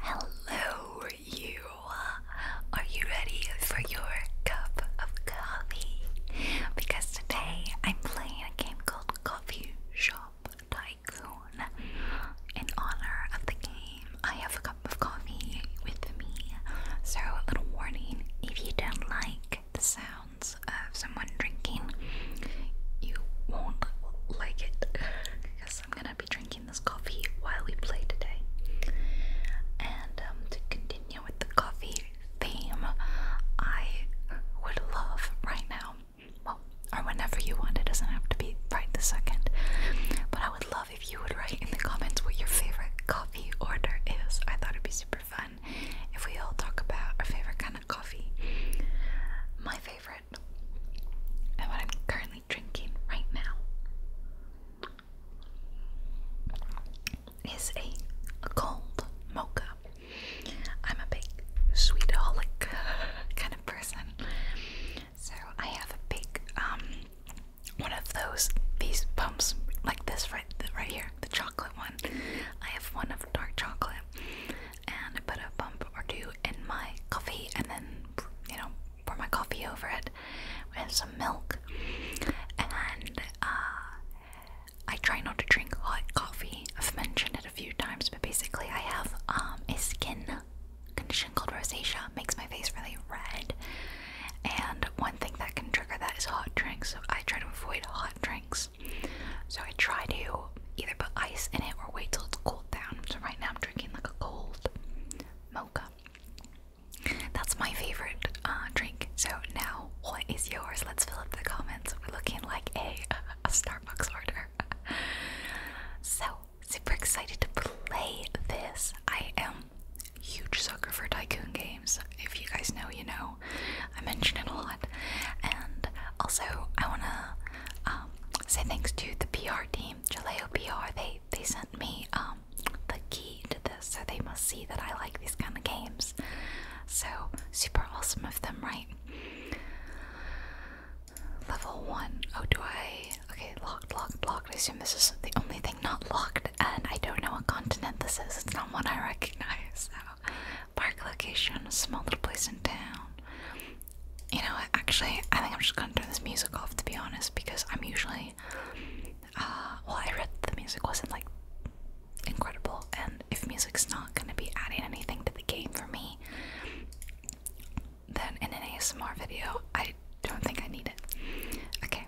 Hello, you. Are you ready for your cup of coffee? Because today I'm playing a game called Coffee Shop Tycoon. In honor of the game, I have a cup of coffee with me. So, a little warning if you don't like the sounds of some someone drinking, you won't like it because I'm gonna be drinking this coffee while we play today. And um, to continue with the coffee theme, I would love right now, well, or whenever you want, it doesn't have to be right this second, but I would love if you would write in the comments what your favorite coffee order is. I thought it'd be super fun if we all talk about our favorite kind of coffee. My favorite and what I'm currently drinking right now is a cold mocha. I'm a big sweetaholic kind of person, so I have a big um one of those these pumps like this right right here, the chocolate one. I have one of dark chocolate and I put a bump or two in my coffee and then, you know, pour my coffee over it with some milk. And uh, I try not to drink hot coffee. I've mentioned it a few times, but basically, I have um, a skin condition called rosacea, makes my face really red. And one thing that can trigger that is hot drinks, so I try to avoid hot drinks. So I try to either put ice in it or wait till it's cooled down. So right now I'm drinking like a cold mocha. That's my favorite uh, drink. So now what is yours? Let's fill up the comments. We're looking like a, a Starbucks order. so super excited to play this. I am huge sucker for tycoon games. If you guys know, you know. I mention it a lot. And also I wanna um, say thanks to the PR team, Jaleo PR. They they sent me um, the key to this, so they must see that I like these kind of games. So super awesome of them, right? Level one. Oh, do I? Okay, locked, locked, locked. I assume this is the only thing not locked, and I don't know what continent this is. It's not one I recognize park location, a small little place in town. You know, actually, I think I'm just gonna turn this music off to be honest, because I'm usually, uh, well, I read the music wasn't like incredible, and if music's not gonna be adding anything to the game for me, then in an ASMR video, I don't think I need it. Okay,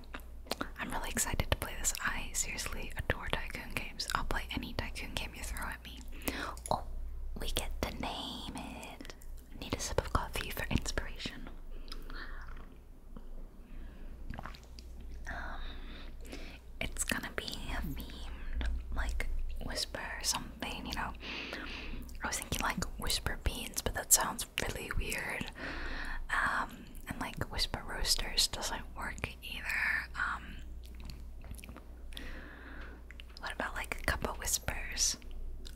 I'm really excited to play this. I seriously adore tycoon games. I'll play any tycoon game you throw Oh, we get to name it. I need a sip of coffee for inspiration. Um, it's gonna be a themed, like whisper or something, you know. I was thinking like whisper beans, but that sounds really weird. Um, and like whisper roasters doesn't work either. Um, what about like a couple whispers?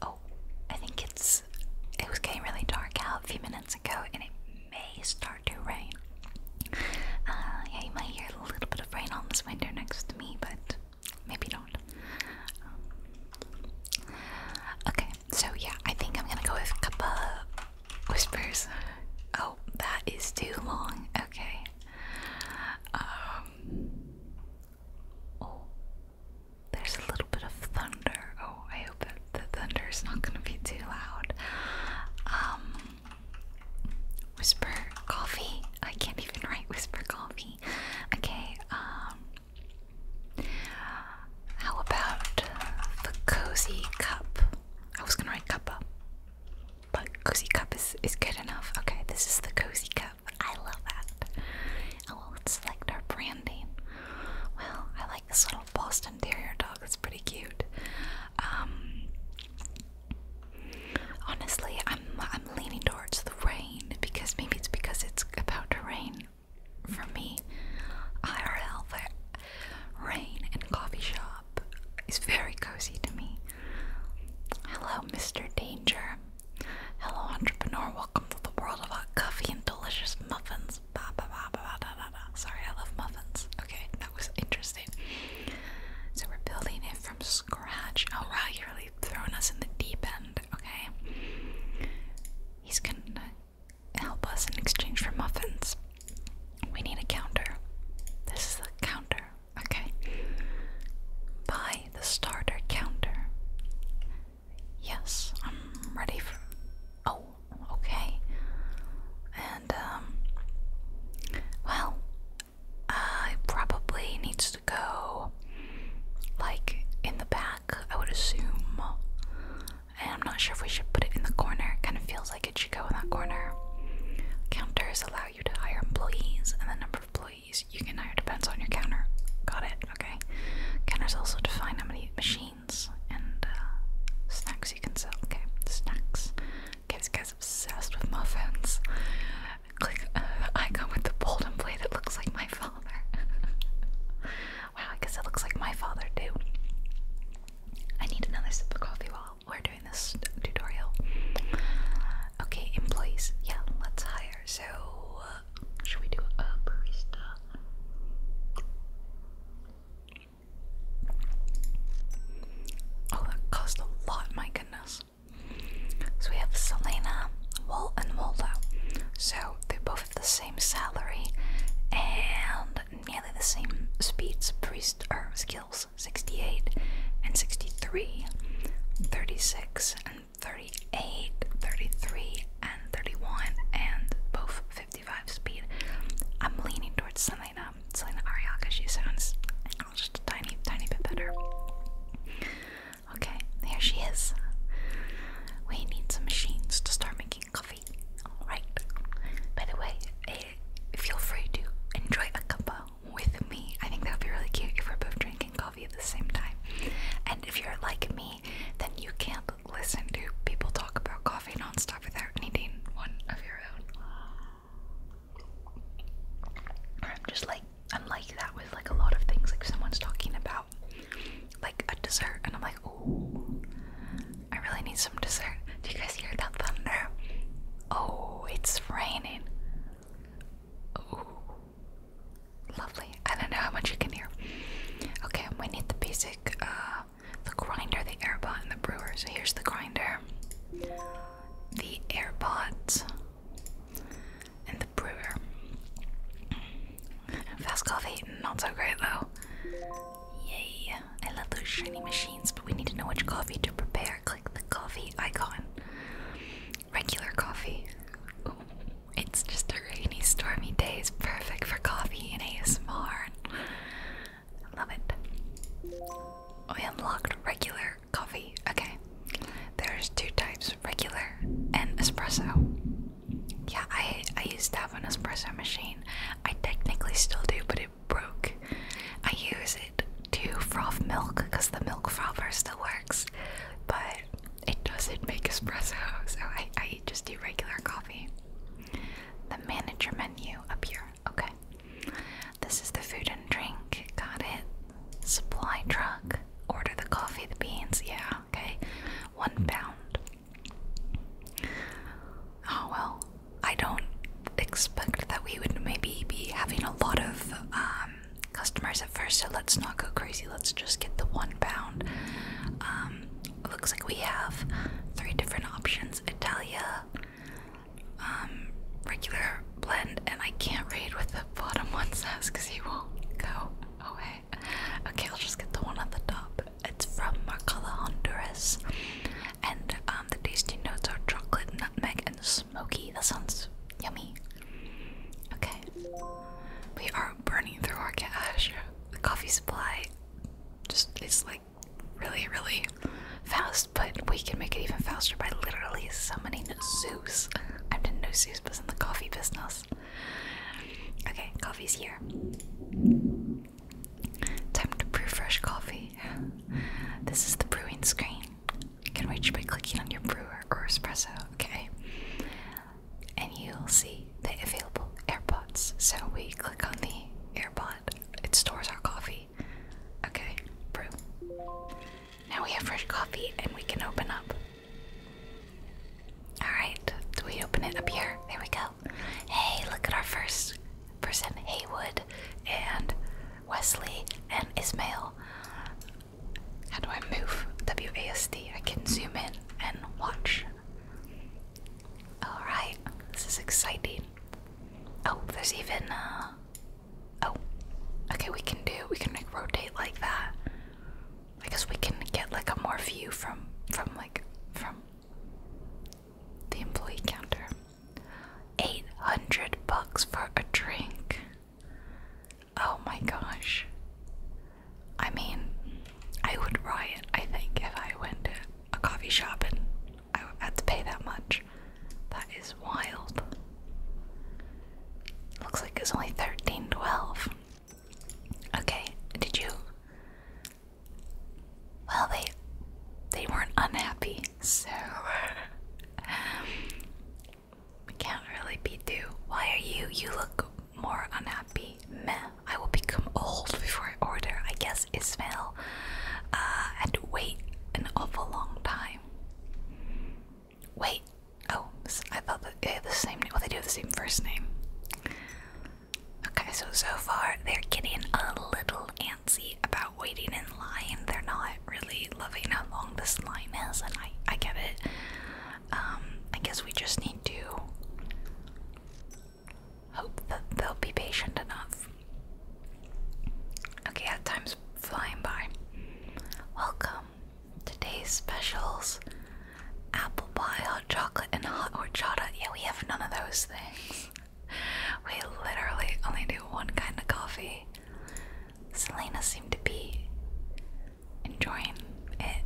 Oh, I think it's it was getting really dark out a few minutes ago, and it may start to rain. Uh, yeah, you might hear a little bit of rain on this window next to me, but maybe not. Um, okay, so yeah, I think I'm gonna go with a Kappa Whispers. Oh, that is too long. Okay. Um, oh, there's a little bit of thunder. Oh, I hope that the thunder is not going to be too loud. Um, whisper coffee. I can't even write whisper coffee. Okay. Um, how about the cozy cup? I was going to write cuppa. But cozy cup is, is good enough. Okay, this is the cozy cup. I love that. Oh, well, let's select our branding. Well, I like this little Boston Terrier dog. It's pretty cute. Um, honestly, I'm I'm leaning towards the rain because maybe it's because it's about to rain for me. IRL, but rain and coffee shop up is very cozy to me. Hello, Mr. Danger. Hello, entrepreneur. Welcome to the world of hot coffee and delicious muffins. Ba, ba, ba, ba, da, da, da. Sorry, I love muffins. Okay, that was interesting. So we're building it from scratch. Oh wow, you're really throwing us in the deep end. Okay, he's gonna help us in exchange for muffins. We need a counter. This is the counter. Okay. Buy the starter counter. Yes, I'm ready for. Oh, okay. And, um, well, I probably needs to go, like, in the back, I would assume. And I'm not sure if we should put it in the corner. It kind of feels like it should go in that corner. Counters allow you to hire employees, and the number of employees you can hire depends on your counter. Got it, okay. Counters also define how many machines and uh, snacks you can sell. Okay, snacks. this guy's obsessed with muffins. Click uh, icon with the bold and that looks like my father. wow, I guess it looks like my father too. I need another sip of coffee while we're doing this tutorial. Okay, employees. Yeah, let's hire. So, uh, should we do a barista? Oh, that cost a lot, my goodness. So we have Selena, Walt, and Waldo. So they are both have the same salary and nearly the same speeds, priest, or skills. 68 and 63, 36 and 38, 33 and 31, and both 55 speed. I'm leaning towards Selena, Selena Ariaka, she sounds just a tiny, tiny bit better. Okay, there she is. We need some machines to start making coffee. Alright. By the way, eh, feel free to enjoy a cuppa with me. I think that would be really cute if we're both drinking coffee at the same time. And if you're like me, then you can't listen to people talk about coffee nonstop without needing one of your own. I'm just like I'm like that with like a lot of things. Like someone's talking about like a dessert, and I'm like, oh, I really need some dessert. Do you guys hear that thunder? Oh, it's raining. Lovely. I don't know how much you can hear. Okay, we need the basic, uh, the grinder, the airbot, and the brewer. So here's the grinder, the airbot, and the brewer. Mm. Fast coffee, not so great though. Yay! I love those shiny machines, but we need to know which coffee to prepare. Click the coffee coffee icon. Regular coffee. Ooh, it's just a rainy, stormy day. It's perfect for coffee and ASMR. I love it. Oh, we unlocked regular coffee. Okay. There's two types, regular and espresso. Yeah, I I used to have an espresso machine. I technically still do, but it broke. I use it to froth milk because the milk frother still works, but it doesn't make espresso, so I, I just do regular coffee. The manager menu up here, okay. This is the food and drink, got it. Supply truck, order the coffee, the beans, yeah, okay. One pound. Oh well, I don't expect that we would maybe be having a lot of um, customers at first, so let's not go crazy. Let's just get the one pound. Um, looks like we have three different options Italia, um, regular blend, and I can't read what the bottom one says because he won't go away. Okay, I'll just get the one at the top. It's from Marcala, Honduras and um, the tasty notes are chocolate, nutmeg, and smoky. That sounds yummy. Okay, we are burning through our cash. The coffee supply just is like really, really fast, but we can make it even faster by literally summoning Zeus. I didn't know Zeus was in the coffee business. Okay, coffee's here. Time to brew fresh coffee. This is the brewing screen. You can reach by clicking on your brewer or espresso, okay? And you'll see the available AirPods. So we click on the AirPod, it stores our coffee. Okay, brew. Now we have fresh coffee and we can open up. Alright, do we open it up here? There we go. Hey, look at our first person, Haywood, and Wesley, and Ismail. How do I move W A S D. I can zoom in and watch. Alright, this is exciting. Oh, there's even uh oh. Okay, we can do we can rotate like that. I guess we can get like a more view from from like from the employee counter. 800 bucks for a drink. Oh my gosh. I mean, I would riot, I think, if I went to a coffee shop and I had to pay that much. That is wild. Looks like it's only 1312. Okay, did you? Well, they they weren't unhappy so um, we can't really be too. Why are you? You look more unhappy. Meh. I will become old before I order. I guess Ismail uh, and wait an awful long time. Wait. Oh, I thought they the same name. Well, they do have the same first name. Okay, so so far they're getting a little antsy about waiting in line, they're not really loving how long this line is, and I, I get it. Um, I guess we just need to hope that they'll be patient enough. Okay, time's flying by. Welcome. Today's specials apple pie, hot chocolate, and hot chocolate. Yeah, we have none of those things we literally only do one kind of coffee. Selena seemed to be enjoying it.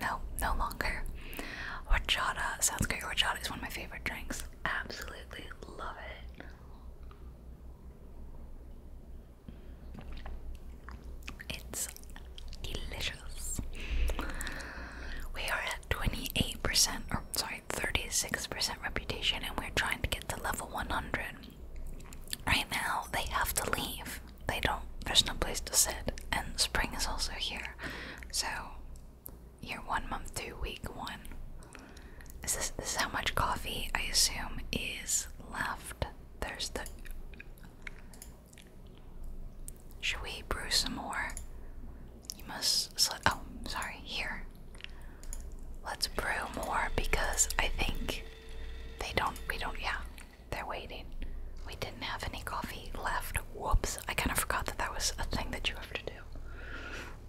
No, no longer. Horchata sounds great. Horchata is one of my favorite drinks. Absolutely love it. It's delicious. We are at 28% sorry, 36% reputation, and we're trying to get to level 100. Right now, they have to leave. They don't, there's no place to sit, and spring is also here. So, year one, month two, week one. Is this is how much coffee I assume is left. There's the. Should we brew some more? You must oh, sorry, here. Let's brew more because I think they don't we don't yeah, they're waiting. We didn't have any coffee left. Whoops, I kind of forgot that that was a thing that you have to do.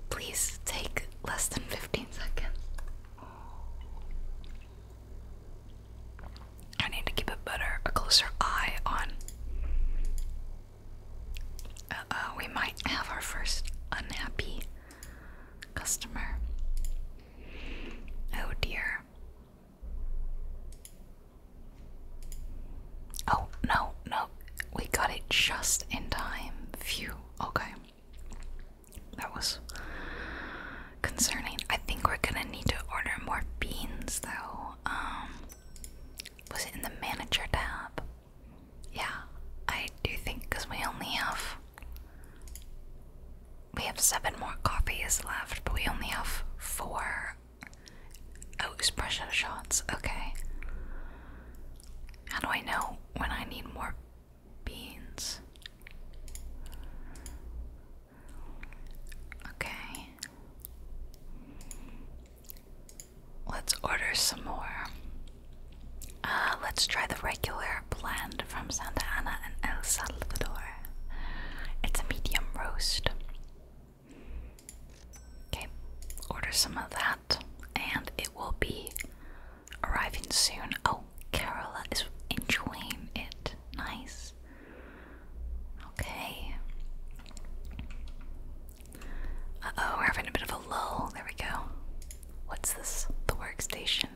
Please take less than 15 seconds. I need to keep a better, a closer eye on uh oh, we might have our first unhappy customer. Oh dear. Oh, no, no. We got it just in time. Phew. Okay. That was concerning. I think we're gonna need to order more beans though. Um was it in the manager tab? Yeah, I do think because we only have we have seven more coffees left, but we only have four oh espresso shots. Okay. How do I know when I need more beans? Okay. Let's order some more. Uh, let's try the regular blend from Santa Ana and El Salvador. It's a medium roast. Okay, order some of that, and it will be arriving soon. Oh, Carola is enjoying it. Nice. Okay. Uh oh, we're having a bit of a lull. There we go. What's this? The workstation,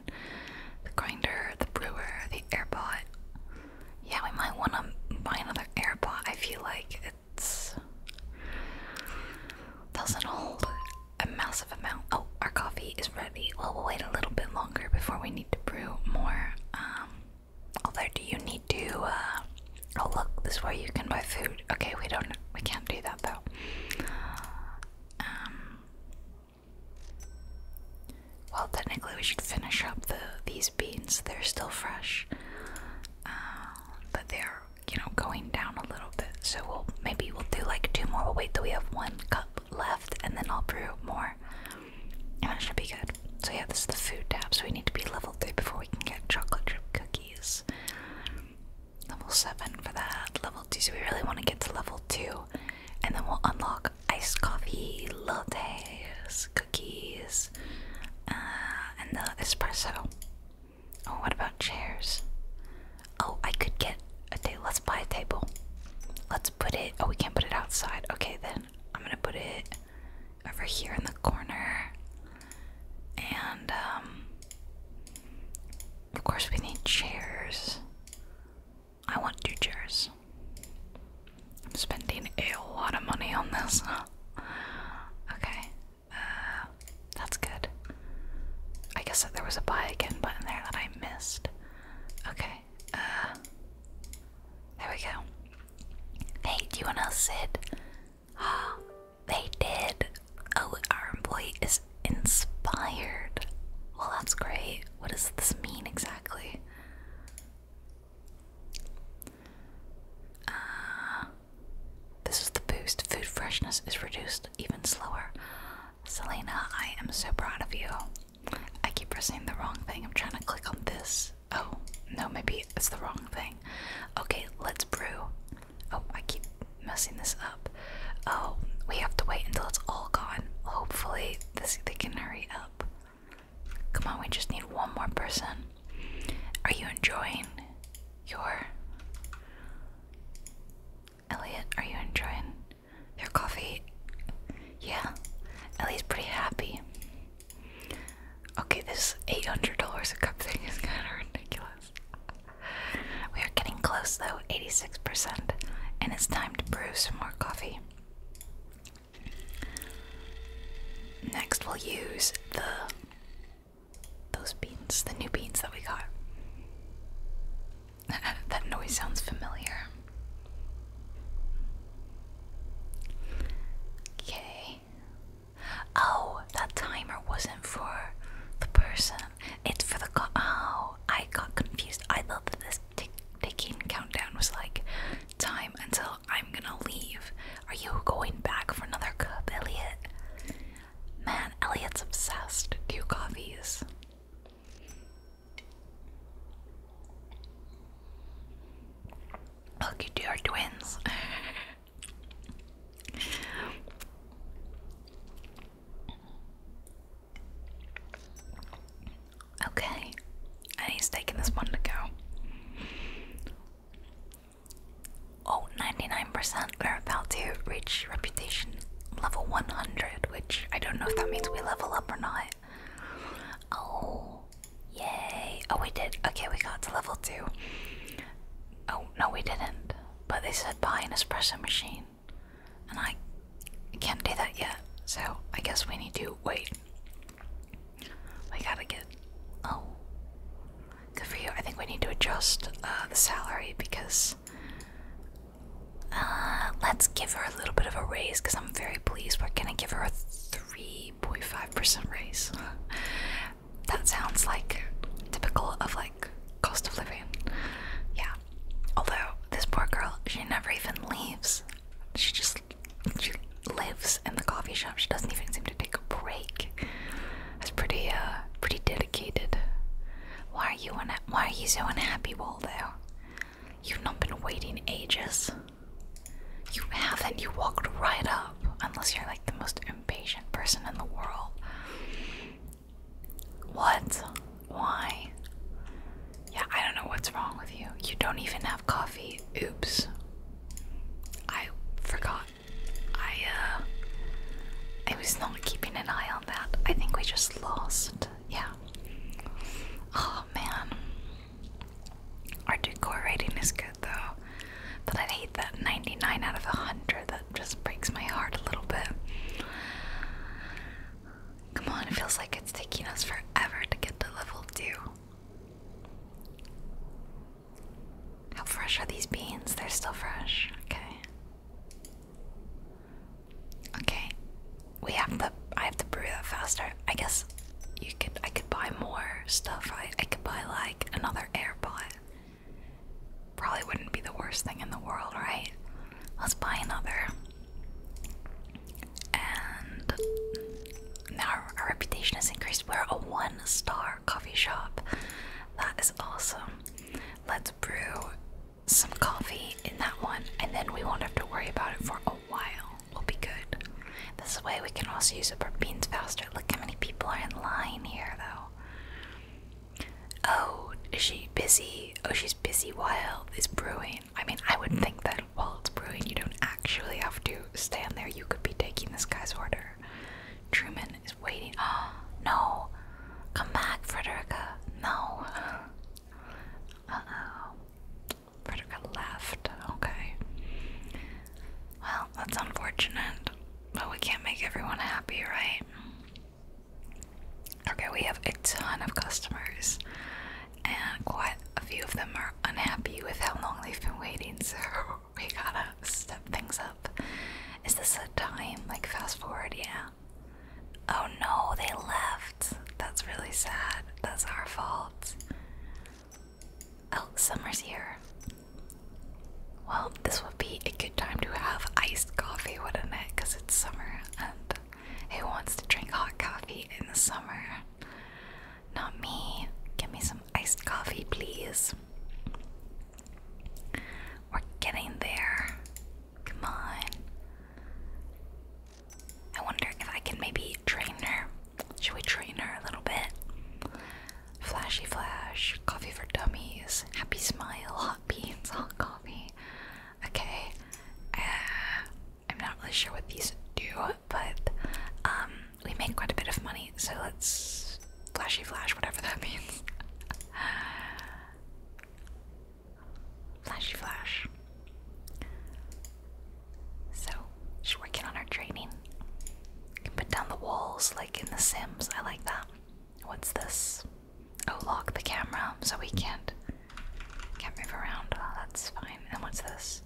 the grinder, the brewer, the airpot. Yeah, we might want to buy another airpot. I feel like it doesn't hold a massive amount. Oh, our coffee is ready. Well, we'll wait a little bit longer before we need to brew more. Um, although, do you need to uh, Oh look, this way you can buy food. Okay, we don't we can't do that though. Um, well technically we should finish up the these beans. They're still fresh. Uh, but they're you know going down a little bit. So we'll maybe we'll do like two more. We'll wait till we have one cup left and then I'll brew more. And it should be good. So yeah, this is the food tab, so we need to be level 3 before we can get chocolate chip cookies level 7 for that, level 2, so we really want to get to level 2, and then we'll unlock iced coffee, lattes, cookies, uh, and the espresso. Oh, what about chairs? Oh, I could get a table. Let's buy a table. Let's put it. Oh, we can't put it outside. Okay, then I'm gonna put it over here in the corner. And, um, of course, we need chairs. I want two chairs. I'm spending a lot of money on this. okay, uh, that's good. I guess that there was a buy again button there that I missed. Okay, uh, there we go. Hey, do you wanna sit? they did. Oh, our employee is inspired. Well, that's great. What does this mean exactly? Uh, this is the boost. Food freshness is reduced even slower. Selena, I am so proud of you. I keep pressing the wrong thing. I'm trying to click on this. Oh, no, maybe it's the wrong thing. Okay, let's brew. Oh, I keep messing this up. Oh, we have to wait until it's all gone. Hopefully, they can hurry up. Come on, we just need one more person. Are you enjoying your Elliot? Are you enjoying your coffee? Yeah, Ellie's pretty happy. Okay, this $800 a cup thing is kind of ridiculous. We are getting close though, 86%, and it's time to brew some more coffee. Next, we'll use the those beans, the new beans that we got. that noise sounds familiar. Okay, Oh, that timer wasn't for the person. It's for the co oh, I got confused. I thought that this tick ticking countdown was like time until I'm gonna leave. Are you going back for another cup, Elliot? Man, Elliot's obsessed. Two coffees. Look, you two twins. Okay, and he's taking this one to go. Oh, 99%, we're about to reach reputation level 100, which I don't know if that means we level up or not. Oh, yay. Oh, we did. Okay, we got to level 2. Oh, no, we didn't. But they said buy an espresso machine. And I can't do that yet. So I guess we need to wait. We gotta get. Oh. Good for you. I think we need to adjust uh, the salary because. Uh, let's give her a little bit of a raise because I'm very pleased. We're gonna give her a 3.5% raise. That sounds like typical of like cost of living. Yeah. Although this poor girl, she never even leaves. She just she lives in the coffee shop. She doesn't even seem to take a break. That's pretty uh pretty dedicated. Why are you unha why are you so unhappy, Waldo? You've not been waiting ages. You haven't. You walked right up. Unless you're like the most impatient person in the world. What? Why? Yeah, I don't know what's wrong with you. You don't even have coffee. Oops. I forgot. I, uh. I was not keeping an eye on that. I think we just lost. Yeah. Oh man. Our decor rating is though. But I hate that 99 out of 100. That just breaks my heart a little bit. Come on, it feels like it's taking us forever to get to level 2. How fresh are these beans? They're still fresh. Okay. Okay. We have to I have to brew that faster. I guess you could I could buy more stuff. I I could buy like another AirPod. Probably wouldn't be the worst thing in the world, right? Let's buy another. And now our, reputation has increased. We're a one star coffee shop. That is awesome. Let's brew some coffee in that one, and then we won't have to worry about it for a while. We'll be good. This way, we can also use up our beans faster. Look how many people are in line here, though. Oh, is she busy? Oh, she's busy while this brewing. I mean, I would think that while it's brewing, you don't actually have to stand there. You could be taking this guy's order. Truman is waiting. Ah, no. Come back, Frederica. No. Uh oh. Frederica left. Okay. Well, that's unfortunate, but we can't make everyone happy, right? Okay, we have a ton of customers, and quite a few of them are unhappy with how long they've been waiting, so we gotta step things up. Is this a time? Like, fast forward, yeah. Oh no, they left. That's really sad. That's our fault. Oh, summer's here. Well, this would be a good time to have iced coffee, wouldn't it? Because it's summer, and who wants to drink hot coffee in the summer? Not me. Give me some iced coffee, please. We're getting there. Come on. I wonder if I can maybe train her. Should we train her a little bit? Flashy Flash, Coffee for Dummies, Happy Smile, Hot Beans, Hot Coffee. Okay, uh, I'm not really sure what these do, but um, we make quite a bit of money, so let's Flashy Flash, whatever that means. flashy Flash. So, she's working on her training. You can put down the walls like in The Sims. I like that. What's this? Oh, lock the camera so we can't can't move around. Oh, that's fine. And what's this?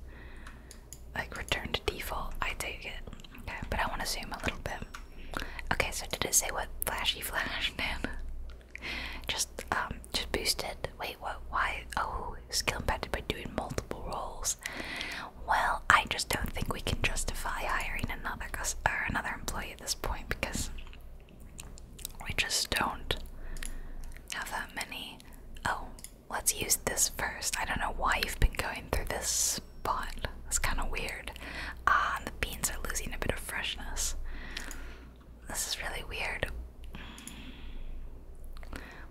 Like return to default. I take it. Okay, but I want to zoom a little bit. Okay, so did it say what flashy flash did? just um, just boosted. Wait, what? Why? Oh, skill impacted by doing multiple rolls. Well, I just don't think we can justify hiring another or another employee at this point because we just don't have that many. Oh, let's use this first. I don't know why you've been going through this spot. It's kind of weird. Ah, the beans are losing a bit of freshness. This is really weird.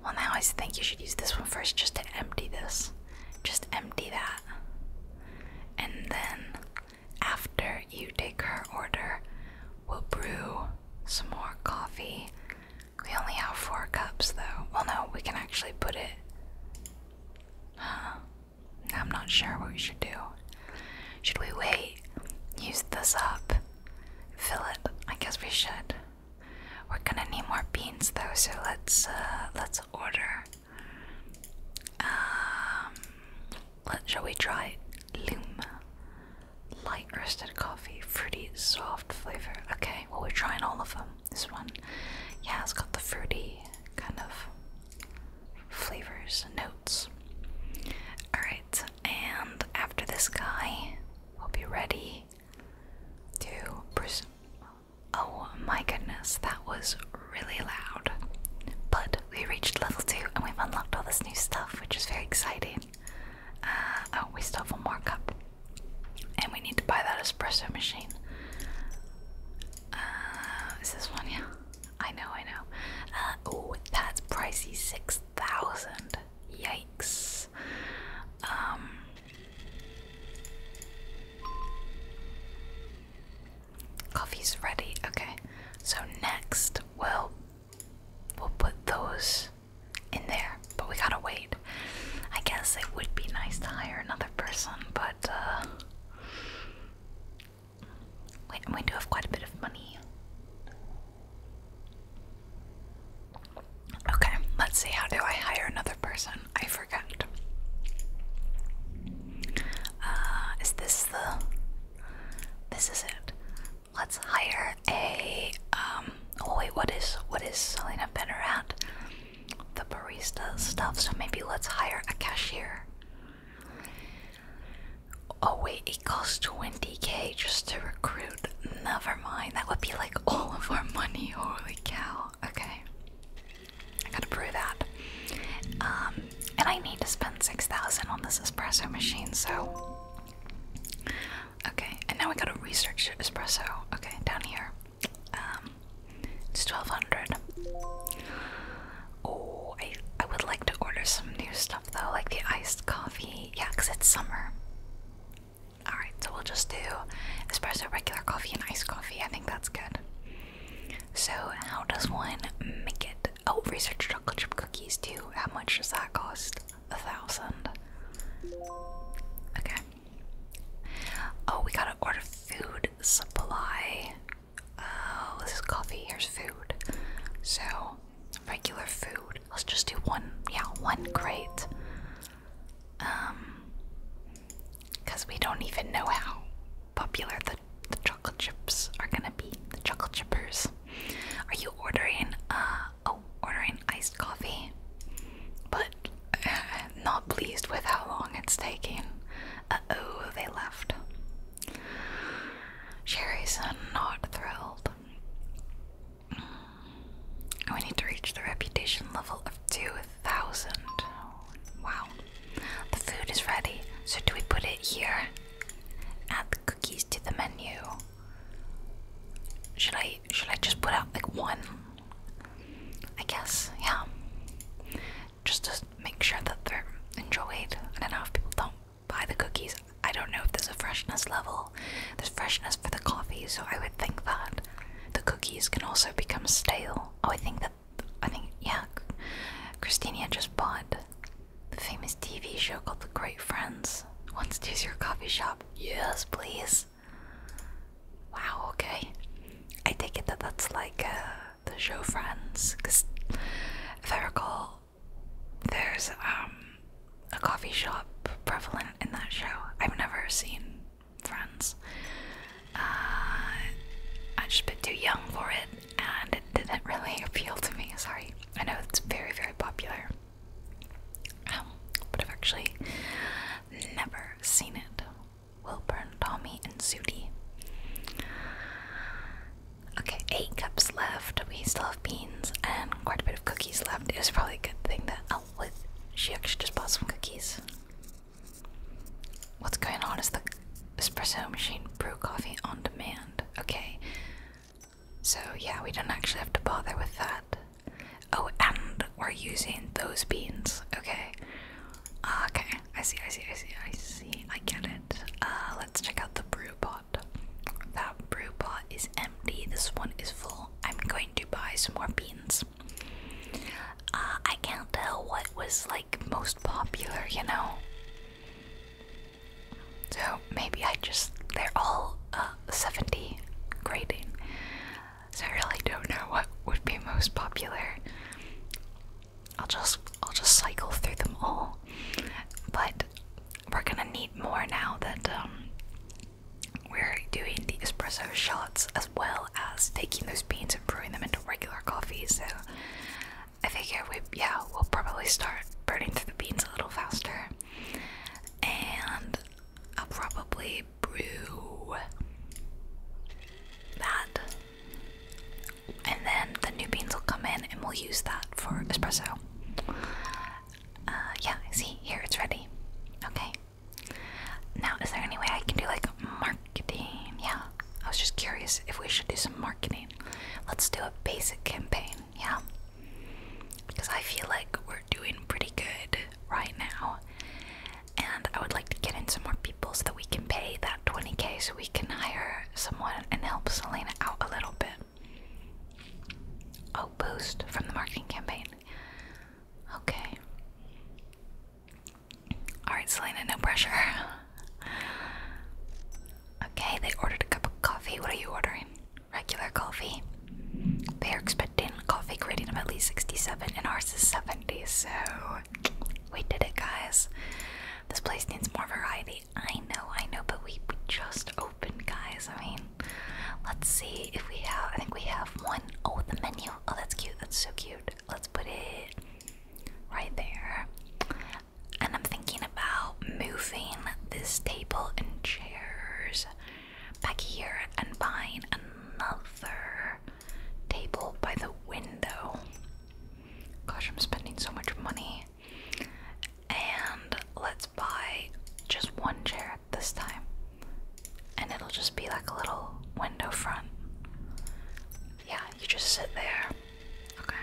Well, now I think you should use this one first just to empty this just empty that. And then, after you take her order, we'll brew some more coffee. We only have four cups though. Well, no, we can actually put it. Huh. I'm not sure what we should do. Should we wait? Use this up? Fill it? I guess we should. We're gonna need more beans though, so let's uh, let's order um, shall we try Lum? Light roasted coffee, fruity, soft flavor. Okay, well, we're trying all of them. This one, yeah, it's got the fruity kind of flavors and notes. Alright, and after this guy, we'll be ready to pres Oh my goodness, that was really loud. But we reached level 2 and we've unlocked all this new stuff, which is very exciting. Uh, oh, we still have one more cup. And we need to buy that espresso machine. Uh, is this one? Yeah. I know, I know. oh, that's pricey 6,000. Yikes. Um, Coffee's ready. Okay. So next we'll we'll put those in there, but we gotta wait. I guess it would be nice to hire another person, but uh wait, and we do have quite a bit of money. Okay, let's see. How do I hire another person? I forgot. Uh, is this the? This is it. Let's hire a. Um, oh wait, what is what is Selena better at? The barista stuff. So maybe let's hire a cashier. Oh wait, it costs twenty k just to recruit. Never mind. That would be like all of our money. Holy cow okay. I gotta brew that. Um, and I need to spend 6,000 on this espresso machine, so. Okay, and now we gotta research espresso. Okay, down here. Um, it's 1200. Oh, I, I would like to order some new stuff though, like the iced coffee. Yeah, because it's summer. Alright, so we'll just do espresso, regular coffee, and iced coffee. I think that's good. So, how does one make it? Oh, research chocolate chip cookies, too. How much does that cost? A thousand. Okay. Oh, we gotta order food supply. Oh, this is coffee. Here's food. So, regular food. Let's just do one, yeah, one crate because um, we don't even know how popular the, the chocolate chips are gonna be. The chocolate chippers. Are you ordering, uh, oh, ordering iced coffee? But uh, not pleased with how long it's taking. oh, they left. Jerry's not thrilled. Mm. We need to reach the reputation level of two Wow. The food is ready. So do we put it here? Add the cookies to the menu. Should I should I just put out like one? I guess, yeah. Just to make sure that they're enjoyed. And do if people don't buy the cookies. I don't know if there's a freshness level. There's freshness for the coffee, so I would think that the cookies can also become stale. Oh, I think that I think yeah. Christina just bought the famous TV show called The Great Friends. Wants to use your coffee shop? Yes, please. Wow. Okay. I take it that that's like uh, the show Friends, because if I recall, there's um a coffee shop prevalent in that show. I've never seen friends. Uh, i just a too young for it, and it didn't really appeal to me. Sorry. I know it's very, very popular, um, but I've actually never seen it. Wilburn, Tommy, and Sudie. Okay, eight cups left. We still have beans and quite a bit of cookies left. It was probably a good thing that Elf oh, with she actually just bought some cookies. What's going on is the espresso machine brew coffee on demand. Okay. So yeah, we don't actually have to bother with that. Oh, and we're using those beans. Okay. Uh, okay. I see, I see, I see, I see. I get it. Uh, let's check out the brew pot. That brew pot is empty. This one is full. I'm going to buy some more beans. Uh, I can't tell what was like most popular, you know. So maybe I just—they're all uh, seventy grading. So I really don't know what would be most popular. I'll just—I'll just cycle through them all. But we're gonna need more now that um, we're doing the espresso shots as well as taking those beans and brewing them into regular coffee. So I figure we, yeah, we'll probably start burning through the beans a little faster. And I'll probably brew that. And then the new beans will come in and we'll use that for espresso. Uh, yeah, see, here it's ready. Okay. Now, is there any way I can do like marketing? Yeah, I was just curious if we should do some marketing. Let's do a basic campaign, yeah? Because I feel like we're doing pretty good right now. And I would like to get in some more people so that we can pay that 20k so we can hire someone and help Selena out a little bit. Oh, boost from the marketing campaign. Okay. Alright, Selena, no pressure. okay, they ordered a cup of coffee. What are you ordering? Regular coffee. They are expecting coffee grading of at least 67, and ours is 70, so we did it, guys. This place needs more variety. I know, I know, but we, we just opened, guys. I mean, let's see if we have. I think we have one. Oh, the menu Oh, that's cute. That's so cute. Let's put it right there. And I'm thinking about moving this table and chairs back here and buying another table by the window. Gosh, I'm spending so much money. And let's buy just one chair this time. And it'll just be like a little window front. Yeah, you just sit there. Okay.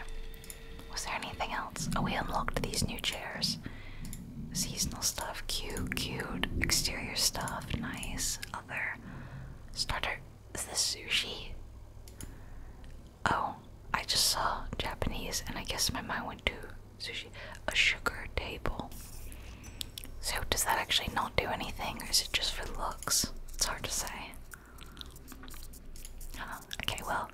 Was there anything else? Oh, we unlocked these new chairs. Seasonal stuff, cute, cute. Exterior stuff, nice. Other starter. Is this sushi? Oh, I just saw Japanese and I guess my mind went to sushi. A sugar table. So does that actually not do anything, or is it just for looks? It's hard to say. Okay, well,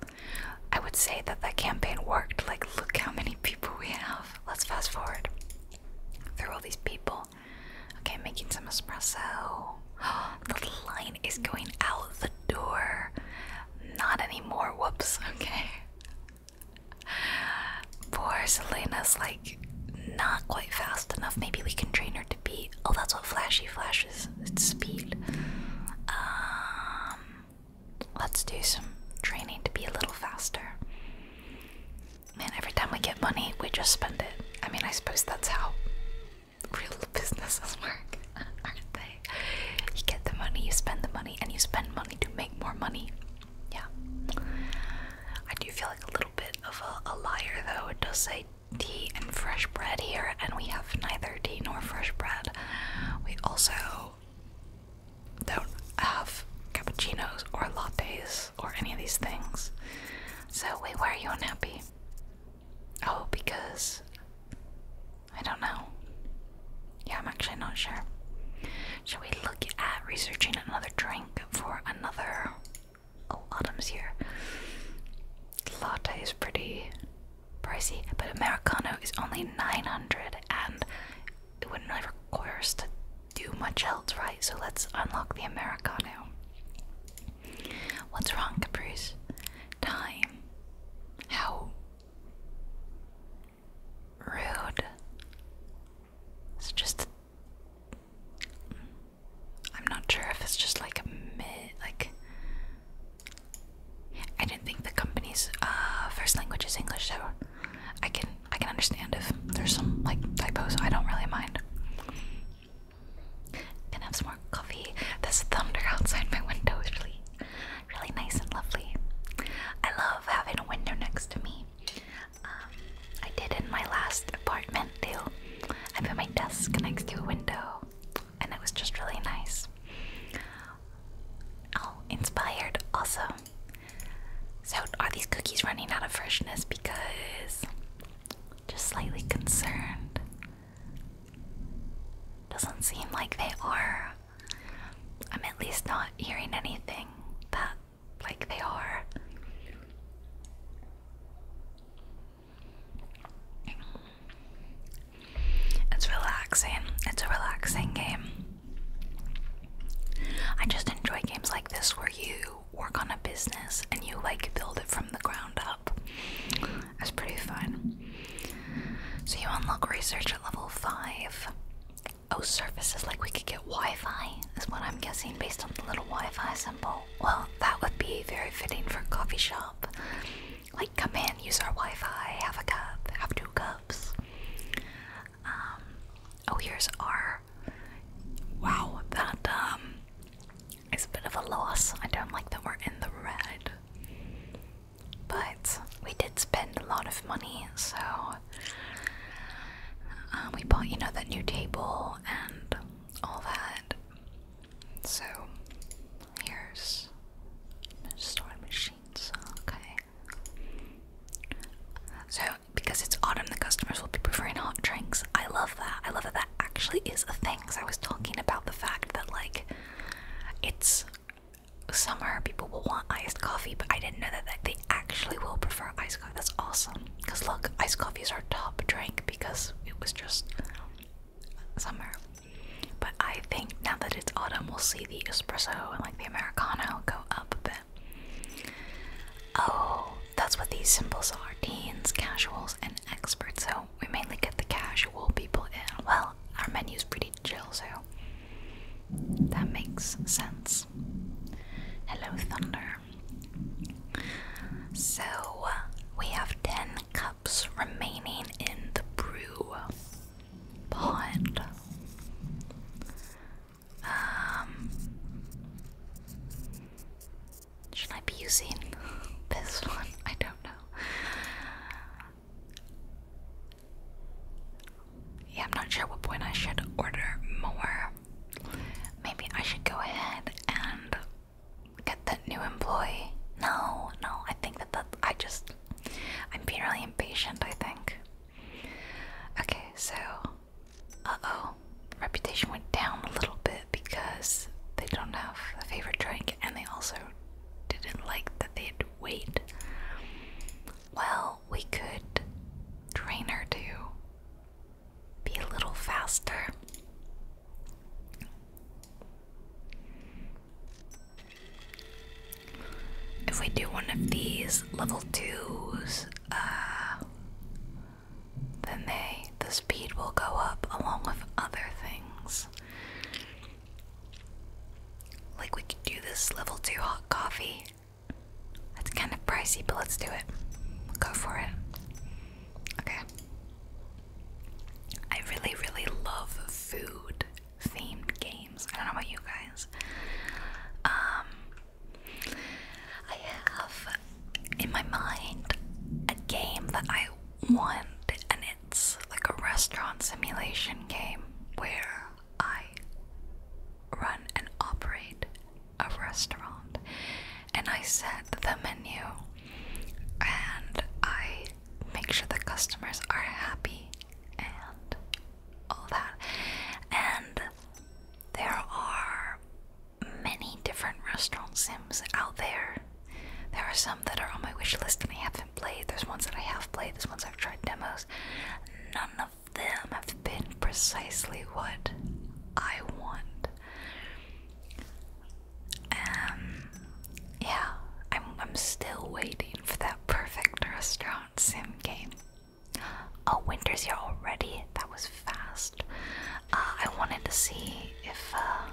I would say that that campaign worked. Like, look how many people we have. Let's fast forward through all these people. Okay, making some espresso. the line is going out the door. Not anymore. Whoops. Okay. Poor Selena's like not quite fast enough. Maybe we can train her to be. Oh, that's what flashy flashes. It's speed. Um, let's do some training to be a little faster. Man, every time we get money, we just spend it. I mean, I suppose that's how real businesses work, aren't they? You get the money, you spend the money, and you spend money to make more money yeah. I do feel like a little bit of a, liar though. It does say tea and fresh bread here, and we have neither tea nor fresh bread. We also don't have cappuccinos or lattes or any of these things. So, wait, why are you unhappy? Oh, because I don't know. Yeah, I'm actually not sure. Should we look at researching another drink? link for another. Oh, here. Latte is pretty pricey, but Americano is only 900 and it wouldn't really require us to do much else, right? So let's unlock the Americano. What's wrong, Caprice? Time. How rude. It's just I'm not sure if it's just like a mid like I didn't think the company's uh, first language is English, so I can I can understand if there's some like typos. I don't really mind. Gonna have some more coffee. This thunder outside my window is really, really nice and lovely. I love having a window next to me. Um, I did in my last apartment too. I put my desk next to a window, and it was just really nice. Oh, inspired also. So, are these cookies running out of freshness? Because just slightly concerned. Doesn't seem like they are. I'm at least not hearing anything But like they are. It's relaxing. It's a relaxing game. I just enjoy games like this where you work on a business and you like build it from the ground up. It's pretty fun. So you unlock research at level 5. Oh, services like we could get Wi Fi, is what I'm guessing based on the little Wi Fi symbol. Well, that would be very fitting for a coffee shop. Like, come in, use our Wi Fi, have a cup, have two cups. Um, oh, here's our. Wow, that, um, is a bit of a loss. I don't like that we're in the red. But we did spend a lot of money, so um, we bought, you know, that new table and all that. So, here's sewing machines. Okay. So, because it's autumn, the customers will be preferring hot drinks. I love that. I love that that actually is a thing. Because I was talking about the fact that, like, it's summer, people will want iced coffee, but I didn't know that, that they actually will prefer iced that's awesome. Cause look, iced coffee is our top drink because it was just summer. But I think now that it's autumn, we'll see the espresso and like the americano go up a bit. Oh, that's what these symbols are: teens, casuals, and experts. So we mainly get the casual people in. Well, our menu's pretty chill, so that makes sense. Hello, Thunder. So we have 10 cups remaining in the brew pot. Um, should I be using this one? I don't know. Yeah, I'm not sure what point I should order more. Maybe I should go ahead and get that new employee. No, no, I think that that I just I'm being really impatient, I think. Okay, so uh-oh. Reputation went down a little bit because they don't have a favorite drink and they also didn't like that they had to wait. Well, we could train her to be a little faster. If we do one of these level twos, uh, then they the speed will go up along with other things. Like we could do this level two hot coffee that's kind of pricey, but let's do it. We'll go for it. Okay. I really, really love food themed games. I don't know about you guys. Um, I have in my mind a game that I want, and it's like a restaurant simulation game where I run and operate a restaurant and I set the menu and I make sure the customers are happy and all that. And there are many different restaurant sims out there. There are some that are on my wish list and I haven't played. There's ones that I have played, there's ones I've tried demos. None of them have been precisely what I want. Um, yeah, I'm, I'm still waiting for that perfect restaurant sim game. Oh, winter's here already? That was fast. Uh, I wanted to see if, uh,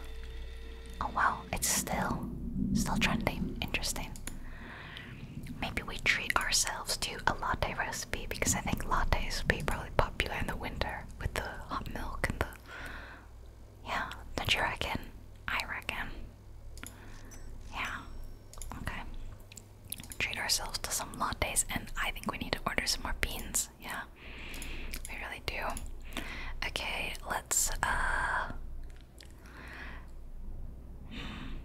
oh wow, it's still, still trending. Interesting. Maybe we treat ourselves to a latte recipe because I think lattes will be probably popular in the winter with the hot milk and the. Yeah, don't you reckon? I reckon. Yeah, okay. Treat ourselves to some lattes, and I think we need to order some more beans. Yeah, we really do. Okay, let's, uh. Hmm.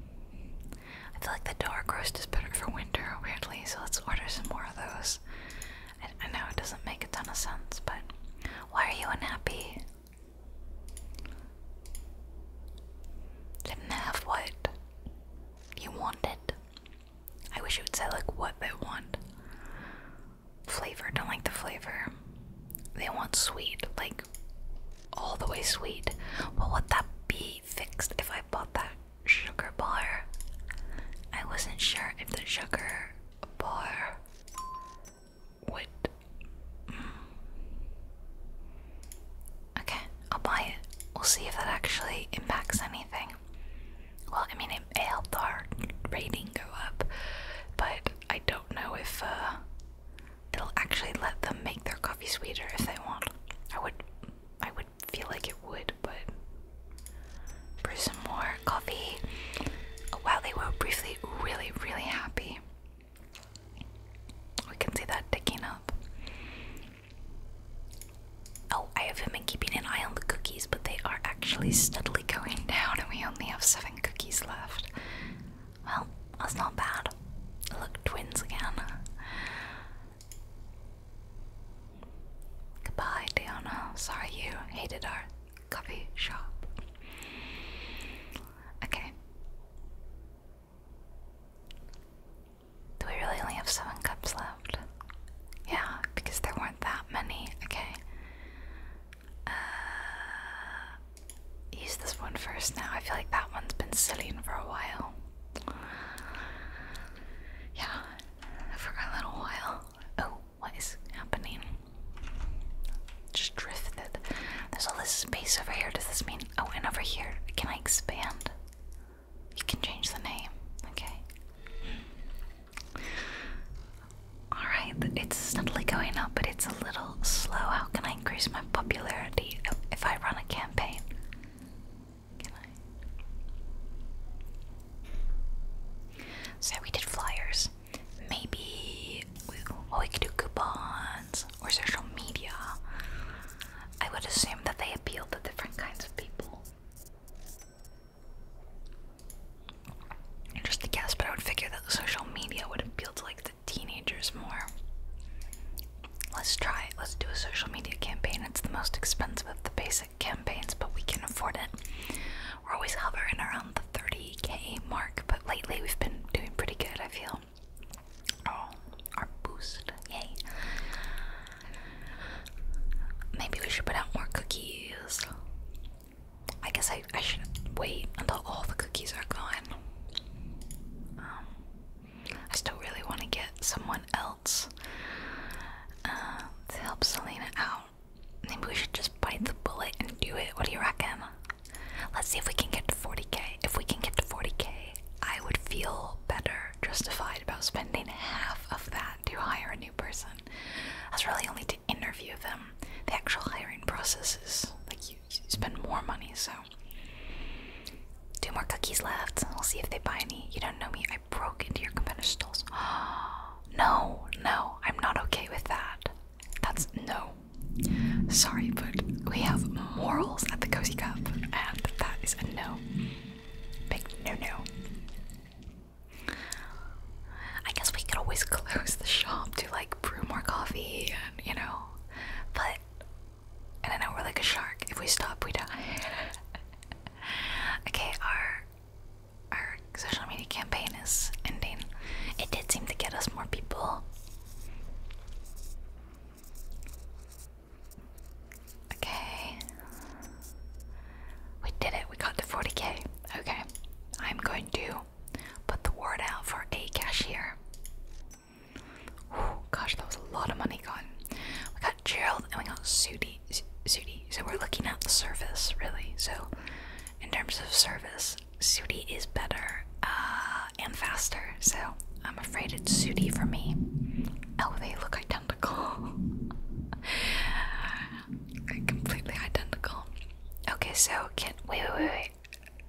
I feel like the dark roast is better for winter, weirdly, so let's order some more of those. I, know it doesn't make a ton of sense, but why are you unhappy? Didn't have what you wanted. I wish you would say, like, what they want. Flavor, don't like the flavor. They want sweet, like, all the way sweet. What would that be? fixed if I bought that sugar bar. I wasn't sure if the sugar bar would. Mm. Okay, I'll buy it. We'll see if that actually impacts anything. Well, I mean, it, it helped our rating go up, but I don't know if uh, it'll actually let them make their coffee sweeter if they want. I would I would feel like it would, but brew some more coffee. Wow, they were briefly really, really happy. We can see that ticking up. Oh, I haven't been keeping an eye on the cookies, but they are actually steadily going down, and we only have seven cookies left. Well, that's not bad. Look, twins again. Goodbye, Diana. Sorry you hated our coffee shop. Okay. Do we really only have seven cups left? Yeah, because there weren't that many. Okay. Uh, use this one first now. I feel like that one's been sitting for a while yeah, for a little while. Oh, what is happening? Just drifted. There's all this space over here. Does this mean? Oh, and over here. Can I expand? You can change the name. Okay. Alright, it's steadily going up, but it's a little slow. How can I increase my popularity if I run a campaign? So we did flyers. Maybe oh, we, could do coupons or social media. I would assume that they appeal to different kinds of people. Just to guess, but I would figure that the social media would appeal to like the teenagers more. Let's try it. Let's do a social media campaign. It's the most expensive of the basic campaigns, but we can afford it. We're always hovering around the 30k mark, but lately we've been doing pretty good, I feel. Oh, our boost. Yay. Maybe we should put out more cookies. I guess I, I should wait until all the cookies are gone. Um, I still really want to get someone else uh, to help Selena out. Maybe we should just bite the bullet and do it. What do you reckon? Let's see if we can get to 40k. If we can get to 40k, I would feel better justified about spending half of that to hire a new person. That's really only to interview them. The actual hiring process is like you spend more money, so Two more cookies left. We'll see if they buy any. You don't know me. I broke into your competitor stalls. no, no, I'm not okay with that. That's no. Sorry, but we have morals at the Cozy Cup, and that is a no. Big no no. I guess we could always close the shop to like brew more coffee and you know, but and I know we're like a shark. If we stop, we die. okay, our our social media campaign is ending. It did seem to get us more people. Okay. We did it. We got to 40k. Okay. I'm going to put the word out for a cashier. Ooh, gosh, that was a lot of money gone. We got Gerald and we got Sudi. Sudi. So we're looking at the service, really. So, in terms of service, Sudi is better uh, and faster. So, I'm afraid it's Sudi for me. Oh, they look identical. completely identical. Okay, so can wait, wait, wait, wait.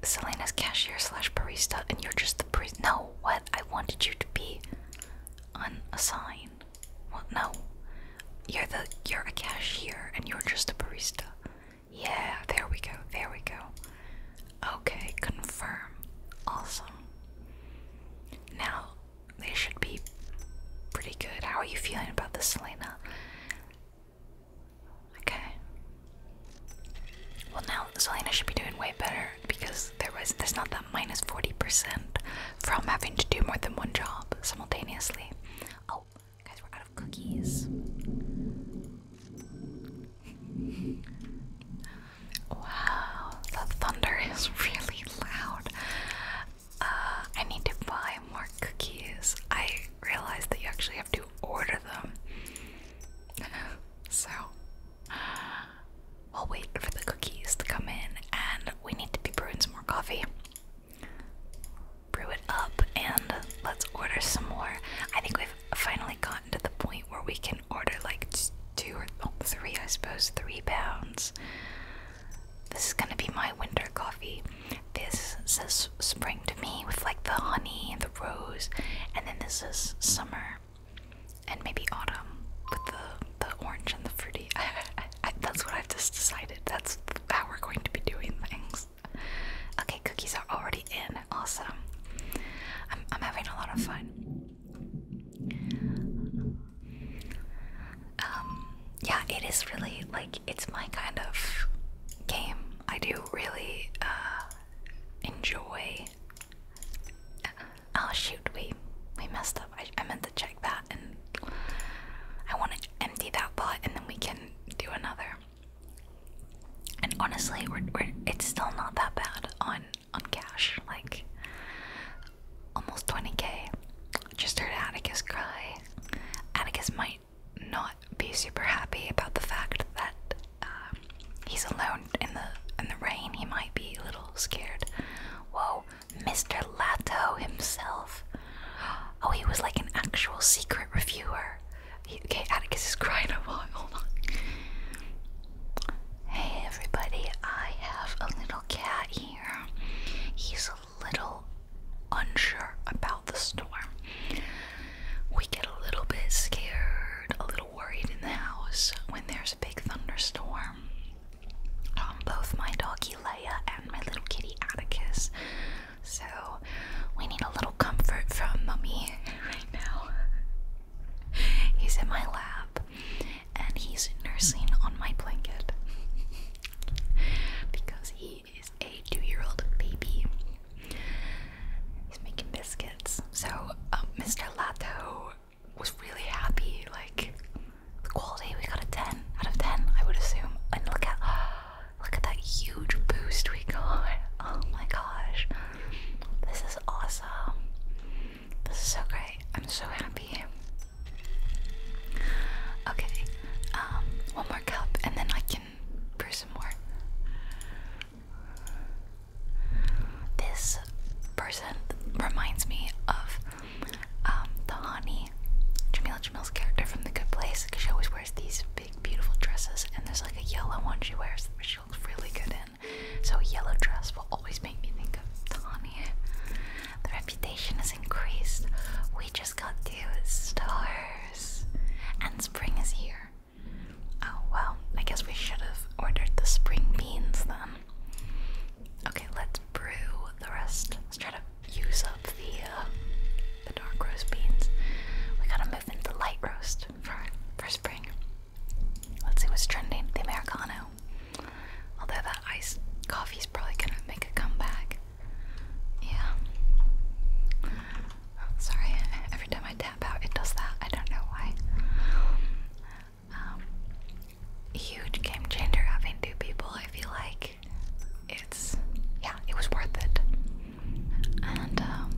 Selena's cashier slash barista, and you're just the barista. No, what? I wanted you to be on a sign. Well, no, you're the you're a cashier, and you're just a barista. Yeah, there we go. There we go. Okay, confirm. Awesome. Now they should be pretty good. How are you feeling about this, Selena? Okay. Well, now Selena should be doing way better because there was there's not that minus forty percent from having to do more than one job simultaneously. Oh, guys, we're out of cookies. Wow, the thunder is really loud. Uh, I need to buy more cookies. I realized that you actually have to order them. so We'll wait for the cookies to come in, and we need to be brewing some more coffee. Brew it up, and let's order some more. I think we've finally gotten to the point where we can order like two or oh, three, I suppose, three pounds. This is gonna be my winter coffee. This says spring to me with like the honey and the rose, and then this is summer and maybe autumn with the the orange and the fruity. that's what I've just decided. That's how we're going to be doing things. Okay, cookies are already in. Awesome. I'm I'm having a lot of fun. Um, yeah, it is really like it's my kind of game. I do really uh, enjoy Oh shoot, we we messed up. I, I meant to check that, and I want to empty that pot, and then we can do another. And honestly, we're, we're it's still not that bad on on cash, like almost 20k. Just heard Atticus cry. Atticus might not be super happy about the fact that um, he's alone in the in the rain. He might be a little scared. Whoa, Mr. Lato himself. Oh, he was like an actual secret reviewer. okay, Atticus is crying a lot. Hold on. Hey everybody, I have a little cat here. He's a little unsure about the storm. We get a little bit scared, a little worried in the house when there's a big thunderstorm. Um, both my doggy Leia and my little kitty Atticus. So we need a little comfort from Mummy right now. He's in my lap and he's nursing on my blanket because he is a two year old baby. He's making biscuits. So Mr. Um, Lato was really happy. Like the quality, we got a ten out of ten, I would assume. And look at look at that huge boost we got. Oh my gosh, this is awesome. This is so great. I'm so happy. Okay, um, one more cup, and then I can brew some more. This person reminds me of um, the honey, Jamila Jamil's character from The Good Place, because she always wears these big, beautiful dresses, and there's like a yellow one she wears that she looks really good in. So, a yellow dress will always make me think of the honey. The reputation has increased. We just got two stars, and spring is here. Oh well, I guess we should have ordered the spring beans then. Okay, let's brew the rest. Let's try to use up the uh, the dark roast beans. We gotta move into light roast for for spring. Let's see what's trending. The Americano. Although that iced coffee's probably gonna make a comeback. Yeah. Sorry, every time I tap out, it does that. I don't know why. Um, huge game changer having two people. I feel like it's yeah, it was worth it. And um,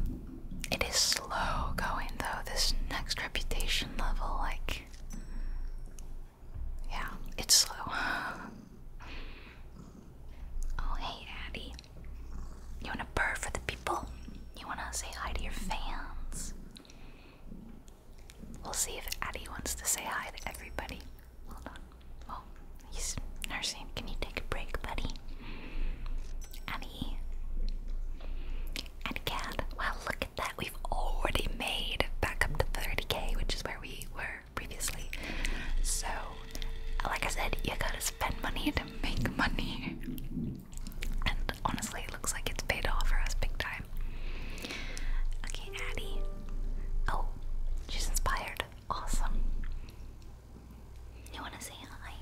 it is slow going though. This next reputation level, like yeah, it's slow. oh hey, Addie. You want to purr for the people? You want to say hi to your fans? We'll see if Addie wants to say hi to everybody. Hold on. Oh, he's nursing. Can you take a break, buddy? Addie. And Cat. Wow, look at that. We've already made back up to 30k, which is where we were previously. So, like I said, you gotta spend money to make money. And honestly, it looks like it's paid off for us big time. Okay, Addie. Oh, she's inspired. Awesome. You want to say hi?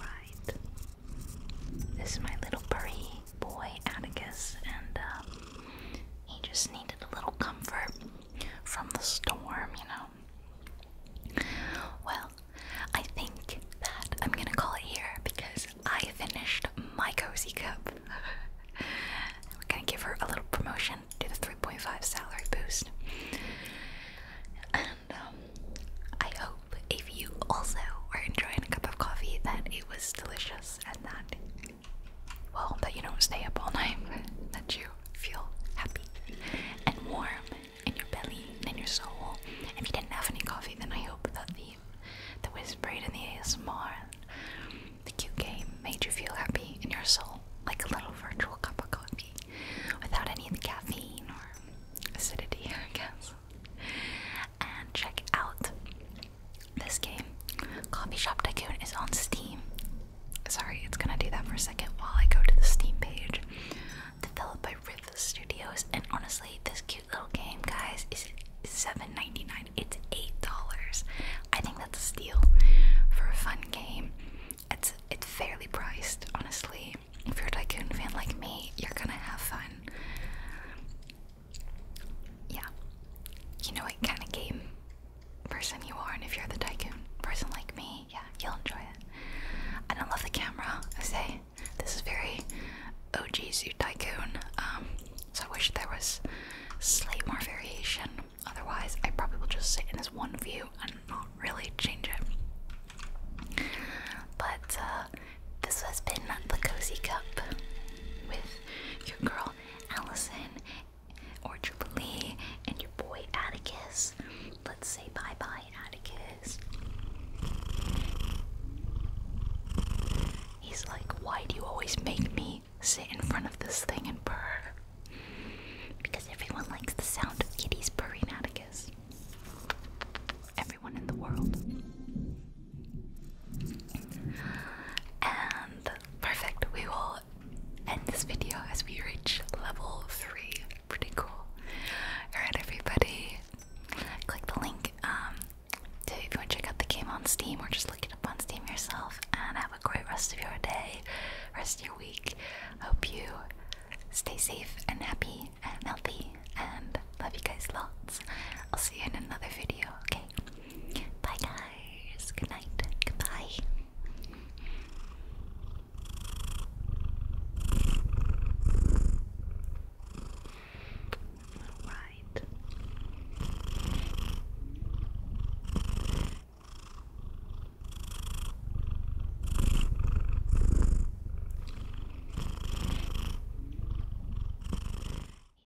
Alright. This is my little furry boy, Atticus, and um, he just needed a little comfort from the storm, you know. Well, I think that I'm gonna call it here because I finished my cozy cup. We're gonna give her a little promotion, do the 3.5 salary boost. And um, I hope if you also are enjoying a cup of coffee that it was delicious and that well, that you don't stay up all night, that you feel happy and warm in your belly and in your soul. If you didn't have any coffee, then I hope that the the whispering in the ASMR, the cute game, made you feel happy in your soul, like a little virtual cup of coffee, without any of the caffeine or acidity, I guess. And check out this game, Coffee Shop Tycoon, is on Steam. Sorry, it's gonna do that for a second while I go to the Steam page. Developed by Rift Studios, and honestly, this cute little game, guys, is $7.99. It's $8. I think that's a steal for a fun game. It's it's fairly priced, honestly. If you're a tycoon fan like me, you're gonna have fun yeah, you know what kind of game person you are, and if you're the tycoon person like me, yeah, you'll enjoy it. I don't love the camera, I say. This is very OG Zoo Tycoon, um, so I wish there was slight more variation. Otherwise, I probably will just sit in this one view and not really change it. But uh, this has been the Cozy Cup with your girl Danielle, Allison, or Jubilee, and your boy Atticus. Let's say bye bye, Atticus. He's like, Why do you always make me sit in front of this thing and purr? Because everyone likes the sound of kitties purring, Atticus. Everyone in the world. And perfect, we will end this video as we reach level 3. Pretty cool. Alright, everybody, click the link um, if you want to check out the game on Steam or just look it up on Steam yourself. And have a great rest of your day, rest of your week. Hope you stay safe and happy and healthy. And love you guys lots. I'll see you in another video, okay? Bye, guys. Good night. Goodbye. Alright.